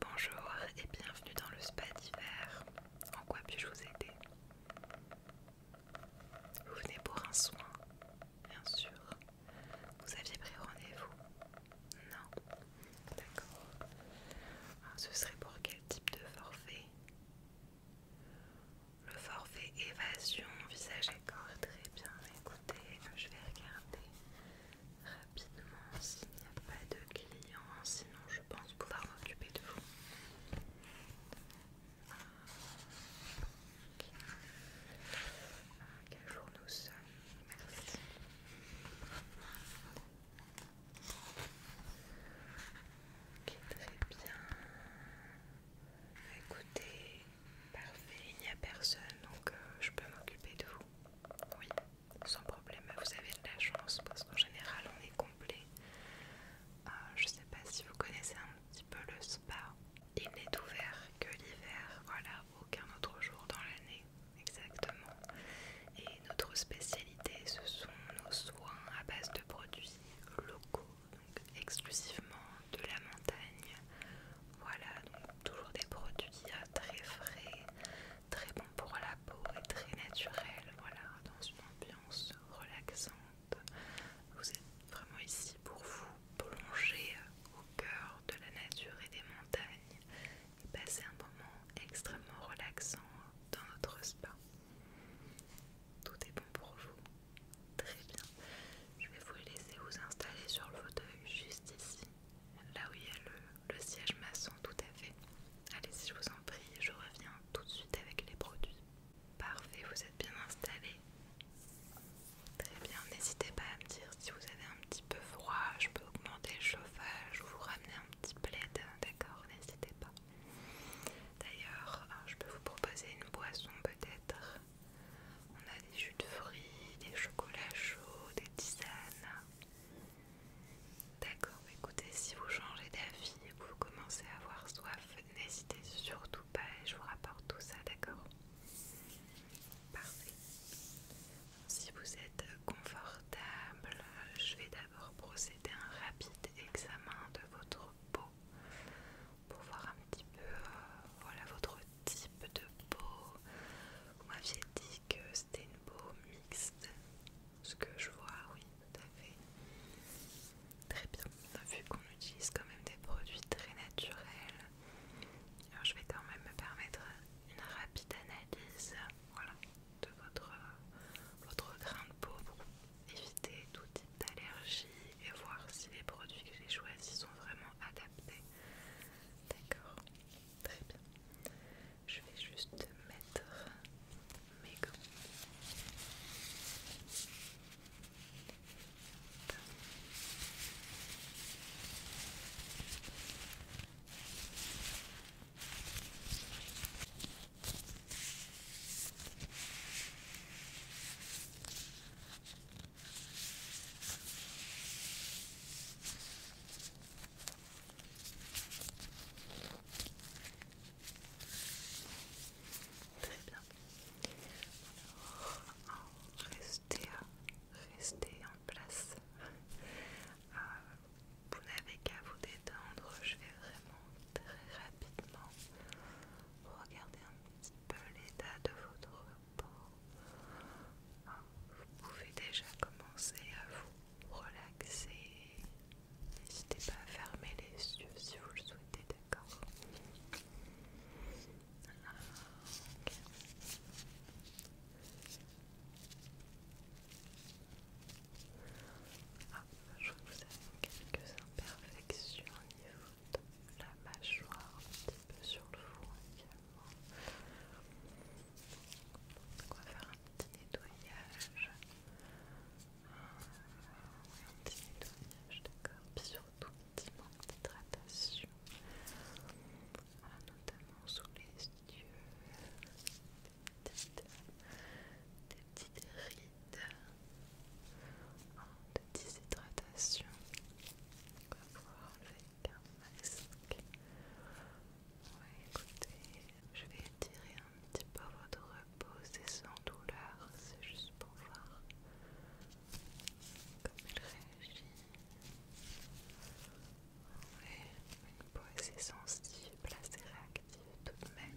Bonjour et bienvenue dans le spa d'hiver. En quoi puis-je vous aider Vous venez pour un soin, bien sûr. Vous aviez pris rendez-vous Non D'accord. Ah, ce serait pour quel type de forfait Le forfait évasion, visage et corps. Très bien, écoutez, je vais regarder rapidement s'il n'y a pas de clients, sinon je pense pouvoir m'occuper de vous. Quel jour nous sommes Merci. Ok, très bien. Écoutez, parfait, il n'y a personne, donc euh, je peux m'occuper de vous. Oui sans problème. Vous avez de la chance parce qu'en général on est complet. Euh, je ne sais pas si vous connaissez un petit peu le spa. Il n'est ouvert que l'hiver, voilà, aucun autre jour dans l'année, exactement. Et notre spécialité, ce sont nos soins à base de produits locaux, donc exclusivement de la montagne, voilà, donc toujours des produits euh, très frais, très bons pour la peau et très naturels. Voilà, dans une ambiance relaxante. Vous êtes vraiment ici pour vous plonger euh, au cœur de la nature et des montagnes et passer un moment extrêmement relaxant dans notre spa. Tout est bon pour vous. Très bien. Je vais vous laisser vous installer sur le fauteuil juste ici là où il y a le, siège maçon, tout à fait. Allez-y, je vous en prie, je reviens tout de suite avec les produits. Parfait, vous êtes bien installé. Très bien, n'hésitez pas à me dire si vous avez un petit peu froid, je peux augmenter le chauffage ou vous ramener un petit plaid, d'accord N'hésitez pas. D'ailleurs, ah, je peux vous proposer une boisson peut-être. On a des jus de fruits, des chocolats chauds, des tisanes, D'accord, bah, écoutez, si vous changez d'avis et que vous commencez à avoir soif, n'hésitez surtout pas et je vous rapporte tout ça, d'accord Parfait. Si vous êtes confortable, je vais d'abord procéder à un rapide examen de votre peau pour voir un petit peu euh, voilà, votre type de peau. Moi que c'était une peau mixte. Ce que je vois, oui, tout à fait. Très bien. Bah, vu qu'on utilise quand même des produits très naturels, alors je vais quand même me permettre une rapide analyse voilà, de votre, votre grain de peau pour éviter tout type d'allergie et voir si les produits que j'ai choisis sont vraiment adaptés. D'accord. Très bien. Je vais juste mettre mes gants. Très bien. Alors, restez, en place. Euh, vous n'avez qu'à vous détendre. Je vais vraiment très rapidement regarder un petit peu l'état de votre vous pouvez déjà commencer à vous relaxer. N'hésitez pas à fermer les yeux si vous le souhaitez, d'accord Je vois que vous avez quelques imperfections au niveau de la mâchoire, un petit peu sur le four on va faire un petit nettoyage. un petit nettoyage, d'accord. Puis surtout, un petit d'hydratation. Ah, notamment sous les yeux. Des petites, rides. Ah, des petites hydratations. enlever un masque. je vais étirer un petit peu votre repos, c'est sans douleur, c'est juste pour voir comment elle réagit. Ouais, une peau assez sensible, assez réactive tout de même.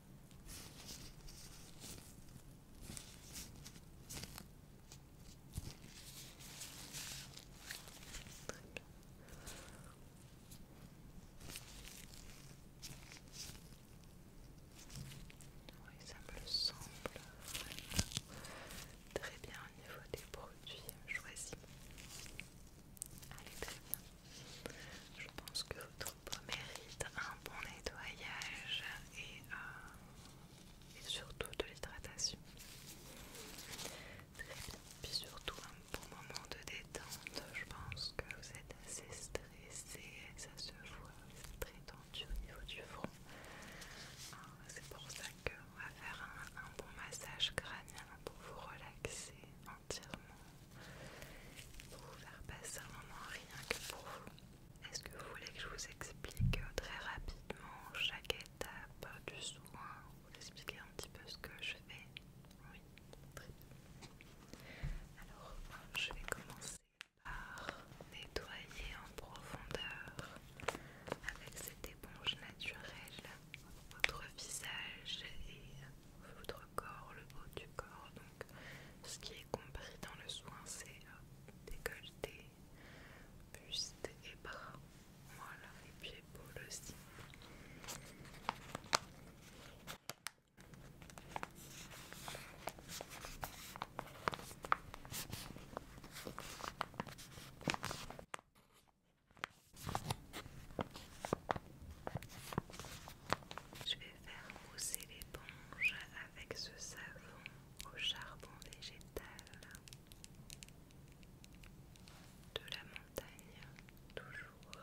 Oui, ça me semble très bien au niveau des produits hein, choisis. Allez, je pense que votre peau mérite un bon nettoyage et, euh, surtout de l'hydratation. Puis surtout un bon moment de détente. Je pense que vous êtes assez stressé, ça se voit, c'est très tendu au niveau du front. Ah, c'est pour ça qu'on va faire un bon massage crânien pour vous relaxer entièrement pour vous faire passer un moment rien que pour vous. Est-ce que vous voulez que je vous explique très rapidement chaque étape du soin Vous expliquer un petit peu ce que je fais Oui, très bien. Alors, je vais commencer par nettoyer en profondeur avec cette éponge naturelle votre visage et votre corps, le haut du corps. Donc, ce qui est compris dans le soin, c'est euh, décolleté, buste et bras. Voilà, et puis le aussi. Je vais faire mousser l'éponge avec ce savon au charbon végétal de la montagne, toujours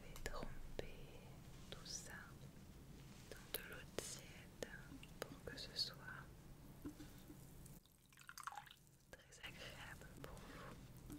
vais tremper tout ça dans de l'eau tiède pour que ce soit très agréable pour vous.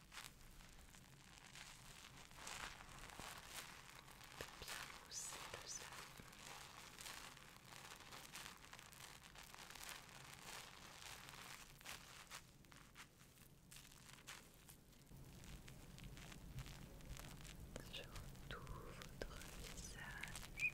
bien mousser tout votre visage.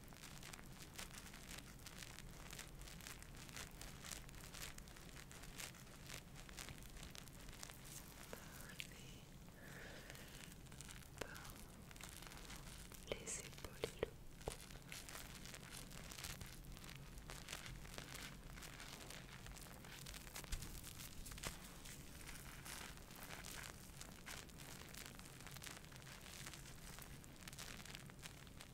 par les épaules et le cou. Très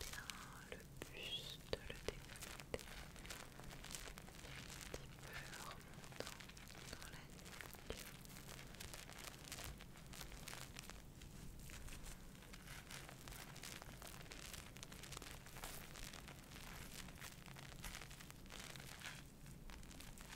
bien, le buste, le décolleté, un petit peu remontant dans la nuque. Elle est vraiment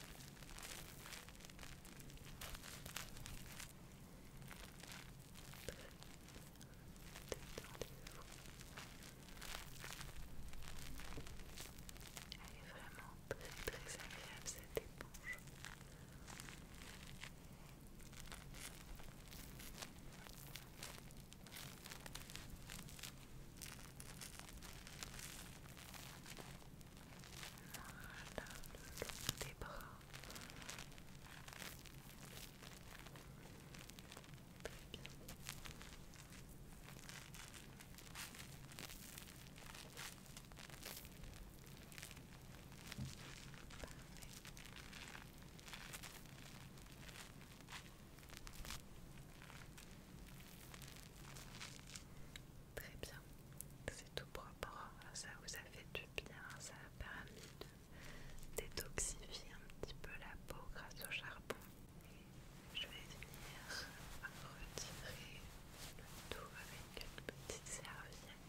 très très agréable cette éponge. Voilà, le des bras. Très bien, c'est tout propre, ça vous a fait du bien, ça a permis de détoxifier un petit peu la peau grâce au charbon. Je vais venir retirer le tout avec une petite serviette.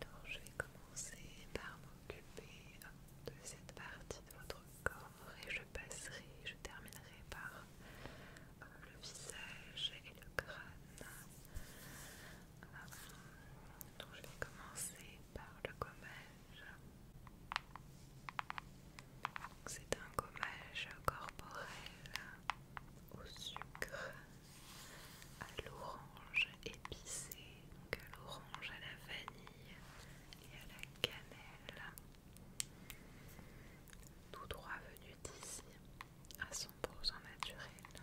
Alors je vais commencer par m'occuper de cette partie de votre corps et je passerai, je terminerai par euh, le visage et le crâne. Euh, donc je vais commencer par le coma. C'est un gommage corporel au sucre, à l'orange épicé, donc à l'orange, à la vanille et à la cannelle. Tout droit venu d'ici, à 100% naturel.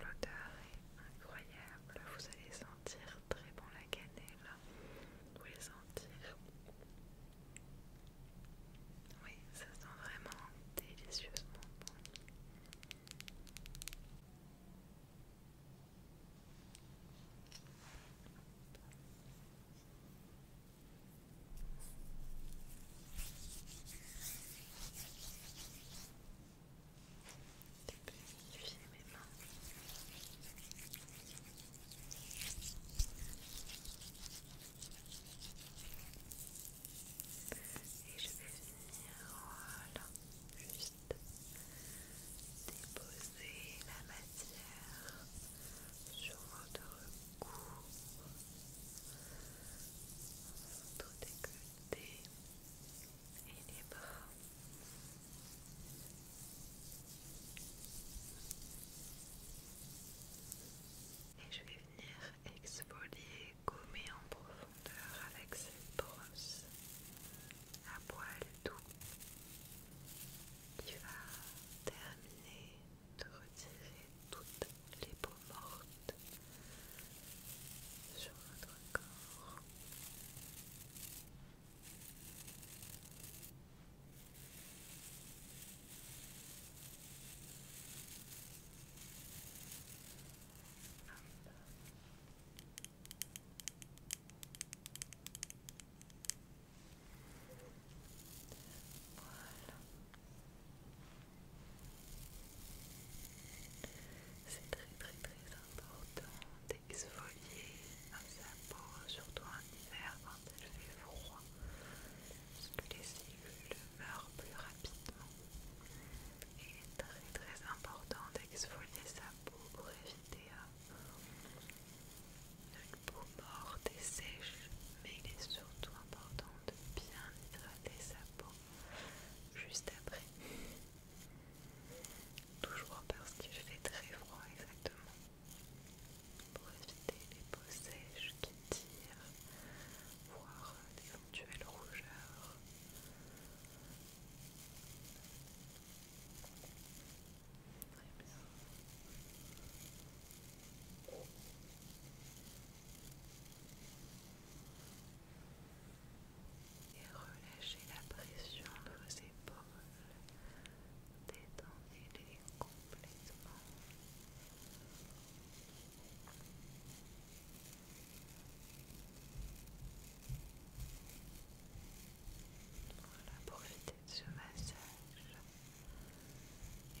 L'odeur est incroyable, vous allez sentir très bon la cannelle, vous les sentir. Oui, ça sent vraiment délicieusement bon. Tu peux mes mains. Et je vais venir, voilà, juste déposer la matière sur votre cou, votre décolleté et les bras. Et je vais venir exfolier les gommer en profondeur avec cette brosse à poils doux qui va terminer de retirer toutes les peaux mortes sur votre corps. C'est très très très important d'exfolier sa peau, surtout en hiver quand il fait froid. Il est plus rapidement. très très important d'exfolier sa peau pour éviter euh, une peau morte et sèche. Mais il est surtout important de bien hydrater sa peau juste après. Toujours parce qu'il fait très froid exactement. Pour éviter les peaux sèches qui tirent voir d'éventuelles rougeurs. Et relâchez la pression de vos épaules, détendez-les complètement. Voilà, profitez de ce massage et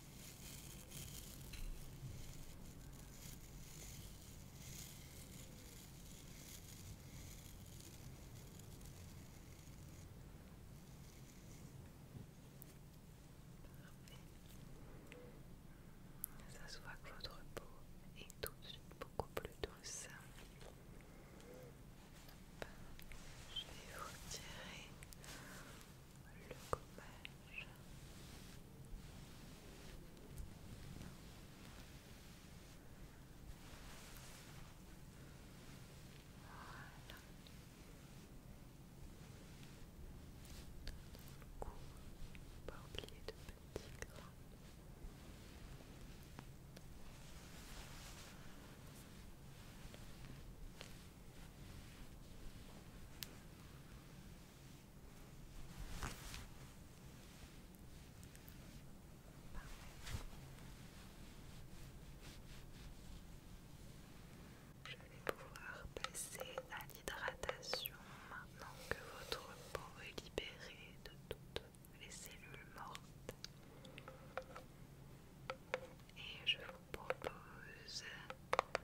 Ça se voit que votre peau est tout de suite beaucoup plus douce. Je vais vous tirer le gommage. Voilà. Dans le pas oublier de petits grains. Je vais pouvoir passer à l'hydratation maintenant que votre peau est libérée de toutes les cellules mortes et je vous propose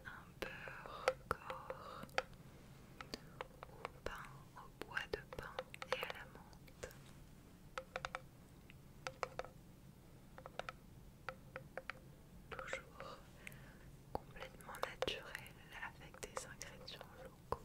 un beurre corps au pain, au bois de pain et à la menthe. Toujours complètement naturel avec des ingrédients locaux.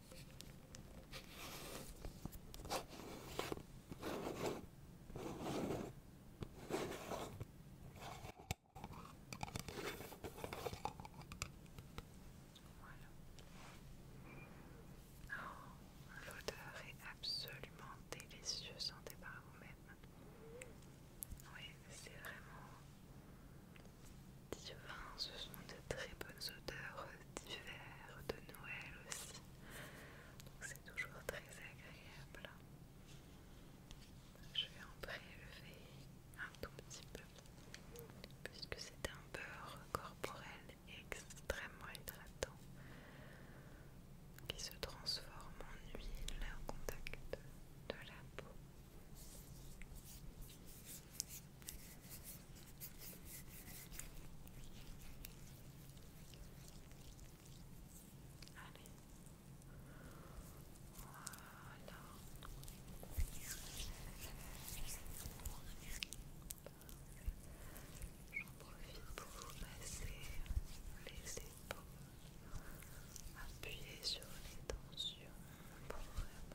Oh, l'odeur est absolument délicieuse, sentez par vous-même. Oui, c'est vraiment divin, ce sont de très bonnes odeurs d'hiver, de Noël aussi. c'est toujours très agréable. Je vais en prélever un tout petit peu puisque c'est un beurre corporel extrêmement hydratant qui se transforme en huile au contact de la peau. Allez. Voilà. J'en profite pour vous masser les épaules, appuyer sur les tensions pour vraiment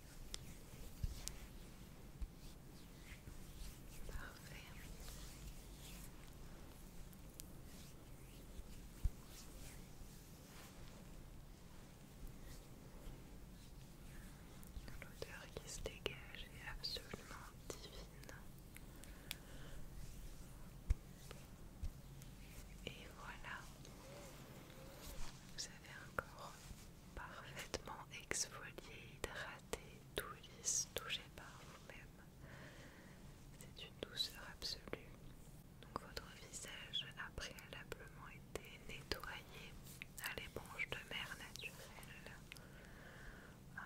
Parfait. L'odeur qui se dégage est absolument divine. Et voilà, vous avez encore parfaitement exfolié, tout lisse, touché par vous-même. C'est une douceur absolue. Donc votre visage a préalablement été nettoyé à l'éponge de mer naturelle. Euh,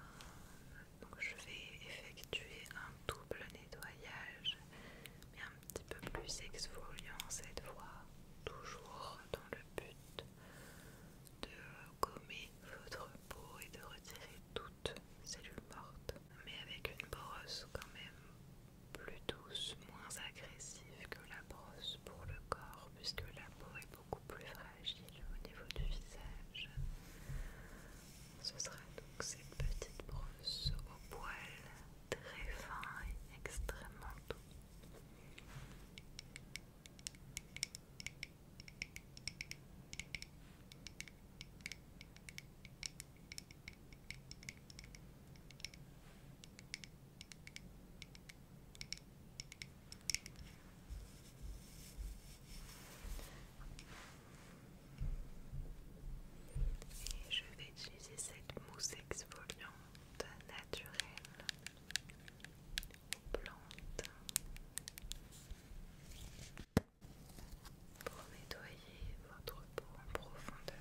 donc je vais effectuer un double nettoyage, mais un petit peu plus exfoliant cette fois, toujours dans le but de gommer votre peau et de retirer toutes cellules mortes, mais avec une brosse quand même plus douce, moins agressive que la brosse pour le corps, puisque la peau est beaucoup plus fragile au niveau du visage. Ce sera donc cette petite brosse au poil très fin et extrêmement doux. Et je vais utiliser cette mousse exfoliante naturelle pour nettoyer votre peau en profondeur.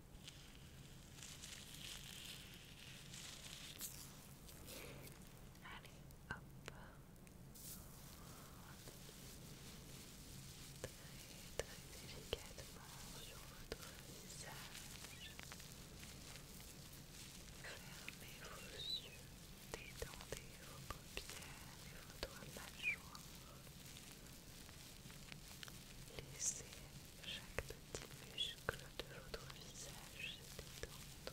Allez, hop. Très, très délicatement sur votre visage. Fermez vos yeux, détendez vos paupières et votre mâchoire. Laissez chaque petit muscle de votre visage se détendre.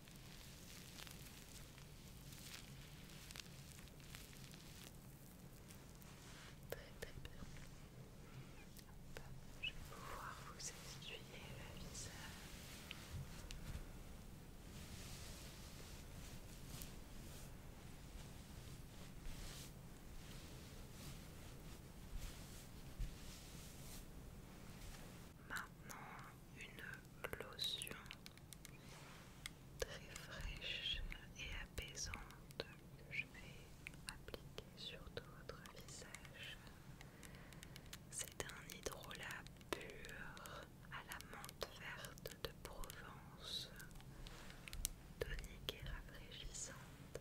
je vais pouvoir vous essuyer le visage. Maintenant, une lotion très fraîche et apaisante que je vais appliquer sur tout votre visage. C'est un hydrolat pur à la menthe verte de Provence, tonique et rafraîchissante.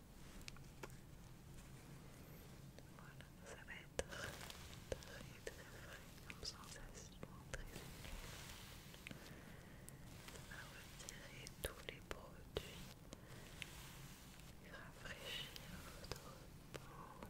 Voilà, ça va être très très frais sensation, très Ça va retirer tous les produits, rafraîchir votre peau,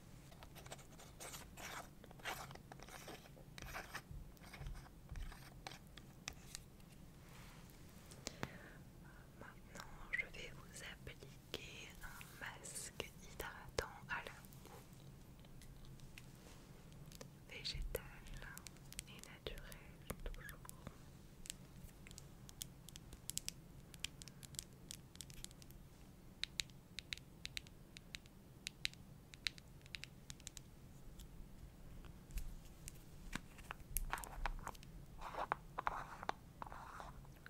Maintenant, je vais vous appliquer un masque hydratant à la végétal et naturel toujours.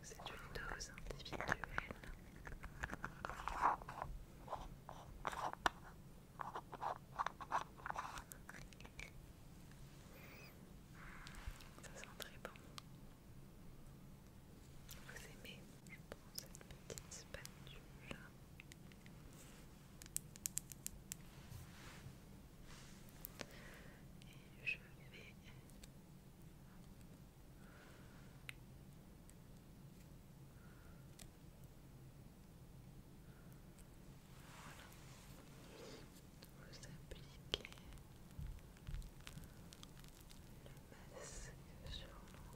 C'est une dose individuelle. Ça sent très bon. Vous aimez Je prends cette petite spatule. Et je vais voilà. Vous appliquer le masque sur l'ensemble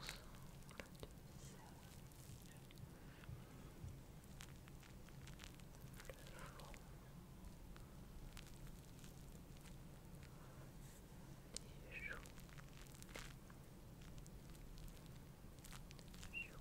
du visage. Le front. Les joues. Joues. Joues. Joues.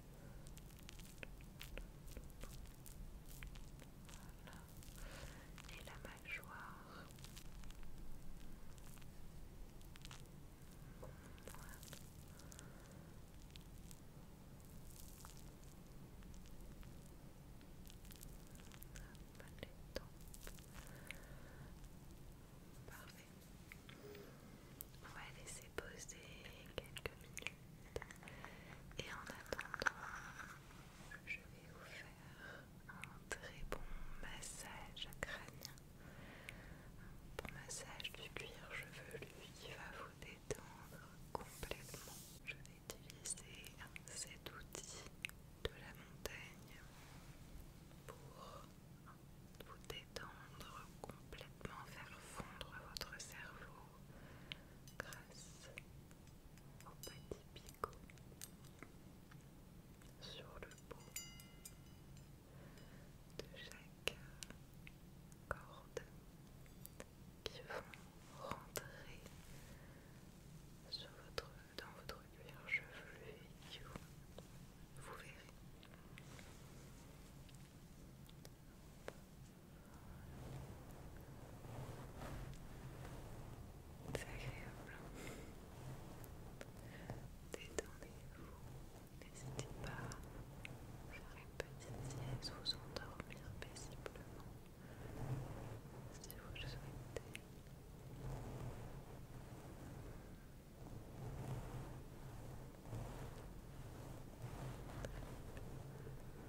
Voilà. Et la mâchoire. Voilà. On va laisser poser quelques minutes. Et en attendant, je vais vous faire un très bon massage crânien. Un bon massage du cuir chevelu qui va vous détendre complètement. Je vais utiliser cet outil de la montagne pour vous détendre complètement, faire fondre votre cerveau grâce au petit picot sur le bout de chaque corde qui vont rentrer dans votre cuir chevelu et qui vous, vous verrez. C'est agréable. Détendez-vous. N'hésitez pas à faire une petite sieste, vous endormir paisiblement si vous le souhaitez. Très bien.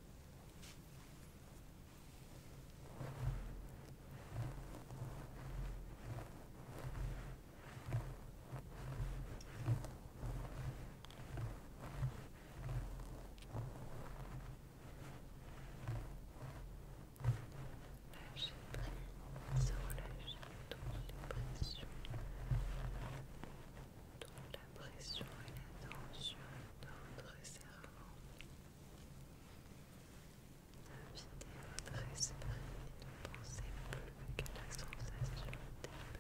Lâchez prise, relâchez toutes les pressions, toute la pression et la tension dans votre cerveau. Invitez votre esprit ne pensez plus qu'à la sensation des petits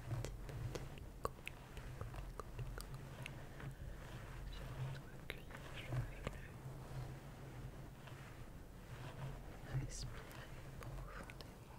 Respirez profondément.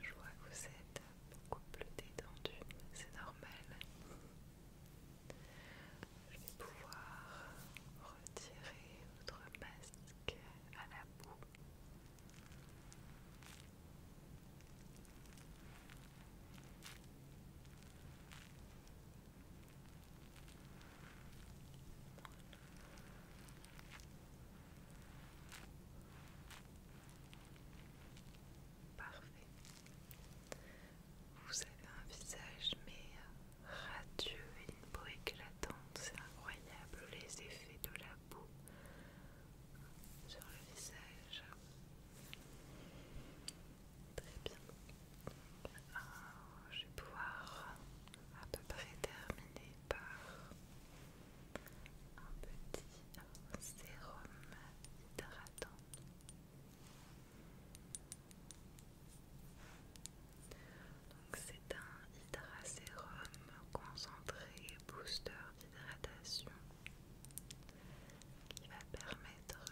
Je vois que vous êtes beaucoup plus détendu, c'est normal. Je vais pouvoir retirer votre masque à la boue. Parfait. Vous avez un visage mais euh, radieux et une peau éclatante, c'est incroyable les effets de la peau sur le visage. Très bien je vais pouvoir à peu près terminer par un petit sérum hydratant. Donc c'est un hydrasérum concentré booster d'hydratation qui va permettre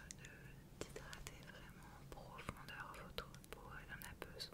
d'hydrater vraiment en profondeur votre pour elle en a besoin.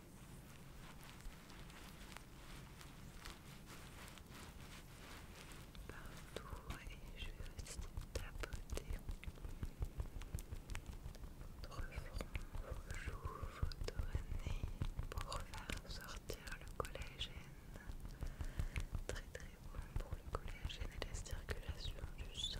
partout et je vais aussi tapoter votre front, vos joues, votre nez pour faire sortir le collagène très très bon pour le collagène et la circulation du sang.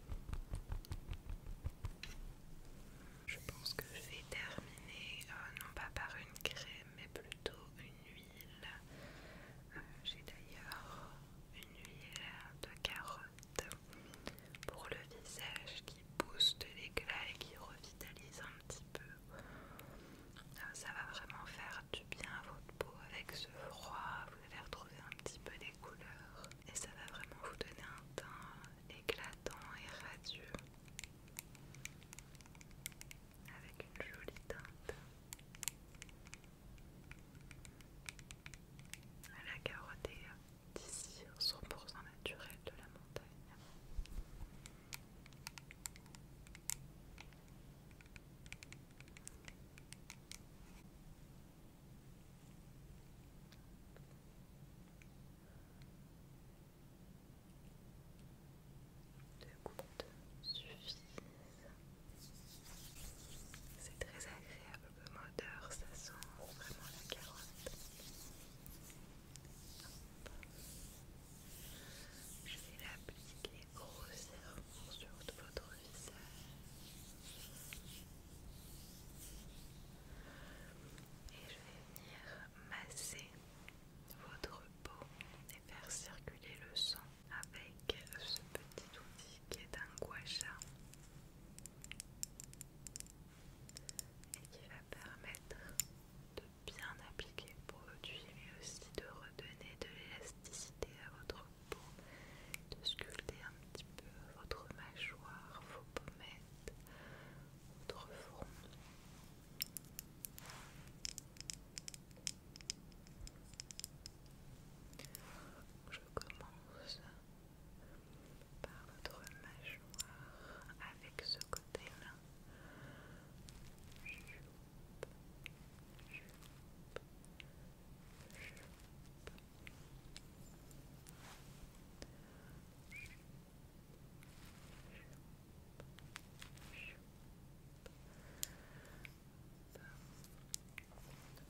Je pense que je vais terminer euh, non pas par une crème mais plutôt une huile. Euh, j'ai d'ailleurs une huile de carotte pour le visage qui booste l'éclat et qui revitalise un petit peu. Euh, ça va vraiment faire du bien à votre peau avec ce froid. Vous allez retrouver un petit peu les couleurs et ça va vraiment vous donner un teint éclatant et radieux avec une jolie teinte la carotte d'ici 100% naturel de la montagne deux gouttes suffisent. C'est très agréable comme odeur, ça sent vraiment la carotte. Je vais l'appliquer grossièrement sur votre visage. Et je vais venir masser votre peau et faire circuler le sang avec ce petit outil qui est un sha et qui va permettre de bien appliquer le produit mais aussi de redonner de l'élasticité à votre pour de sculpter un petit peu votre mâchoire, vos pommettes, votre front. Je commence par votre mâchoire avec ce côté-là.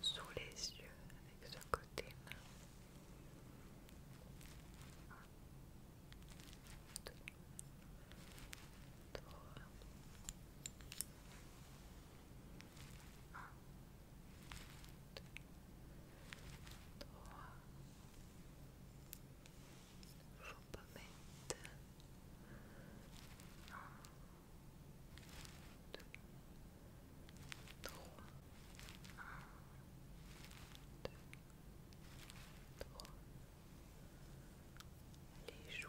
Sous les yeux avec ce côté là. Un, deux, trois, faut pas mettre un, deux, trois, les joues,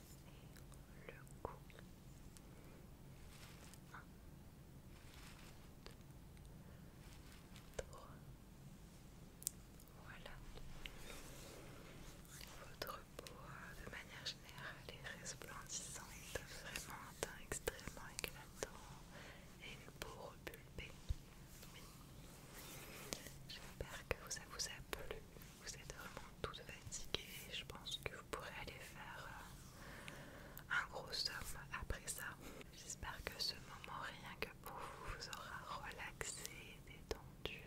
et le cou. trois. Voilà. Votre peau, de manière générale, est euh, resplendissante, vraiment un teint extrêmement éclatant et une peau repulpée. J'espère que ça vous a plu vous êtes vraiment toute fatiguée, je pense que vous pourrez aller faire euh, un gros somme après ça. J'espère que ce moment, rien que pour vous, vous aura relaxé, détendu.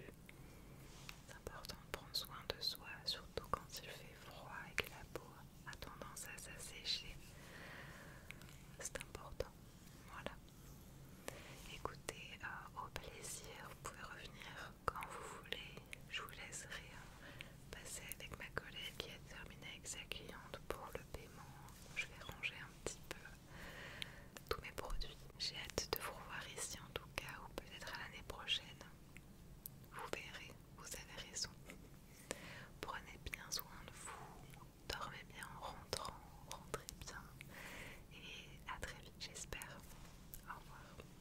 C'est important de prendre soin de soi, surtout quand il fait froid et que la peau a tendance à s'assécher. C'est important. Voilà. Écoutez, euh, au plaisir, vous pouvez revenir quand vous voulez. Je vous laisserai passer avec ma collègue qui a terminé avec sa cliente pour le paiement. Je vais ranger un petit peu tous mes produits. J'ai hâte de vous revoir ici en tout cas, ou peut-être à l'année prochaine. Vous verrez, vous avez raison. Prenez bien soin de vous, dormez bien en rentrant, rentrez bien et à très vite j'espère. Au revoir.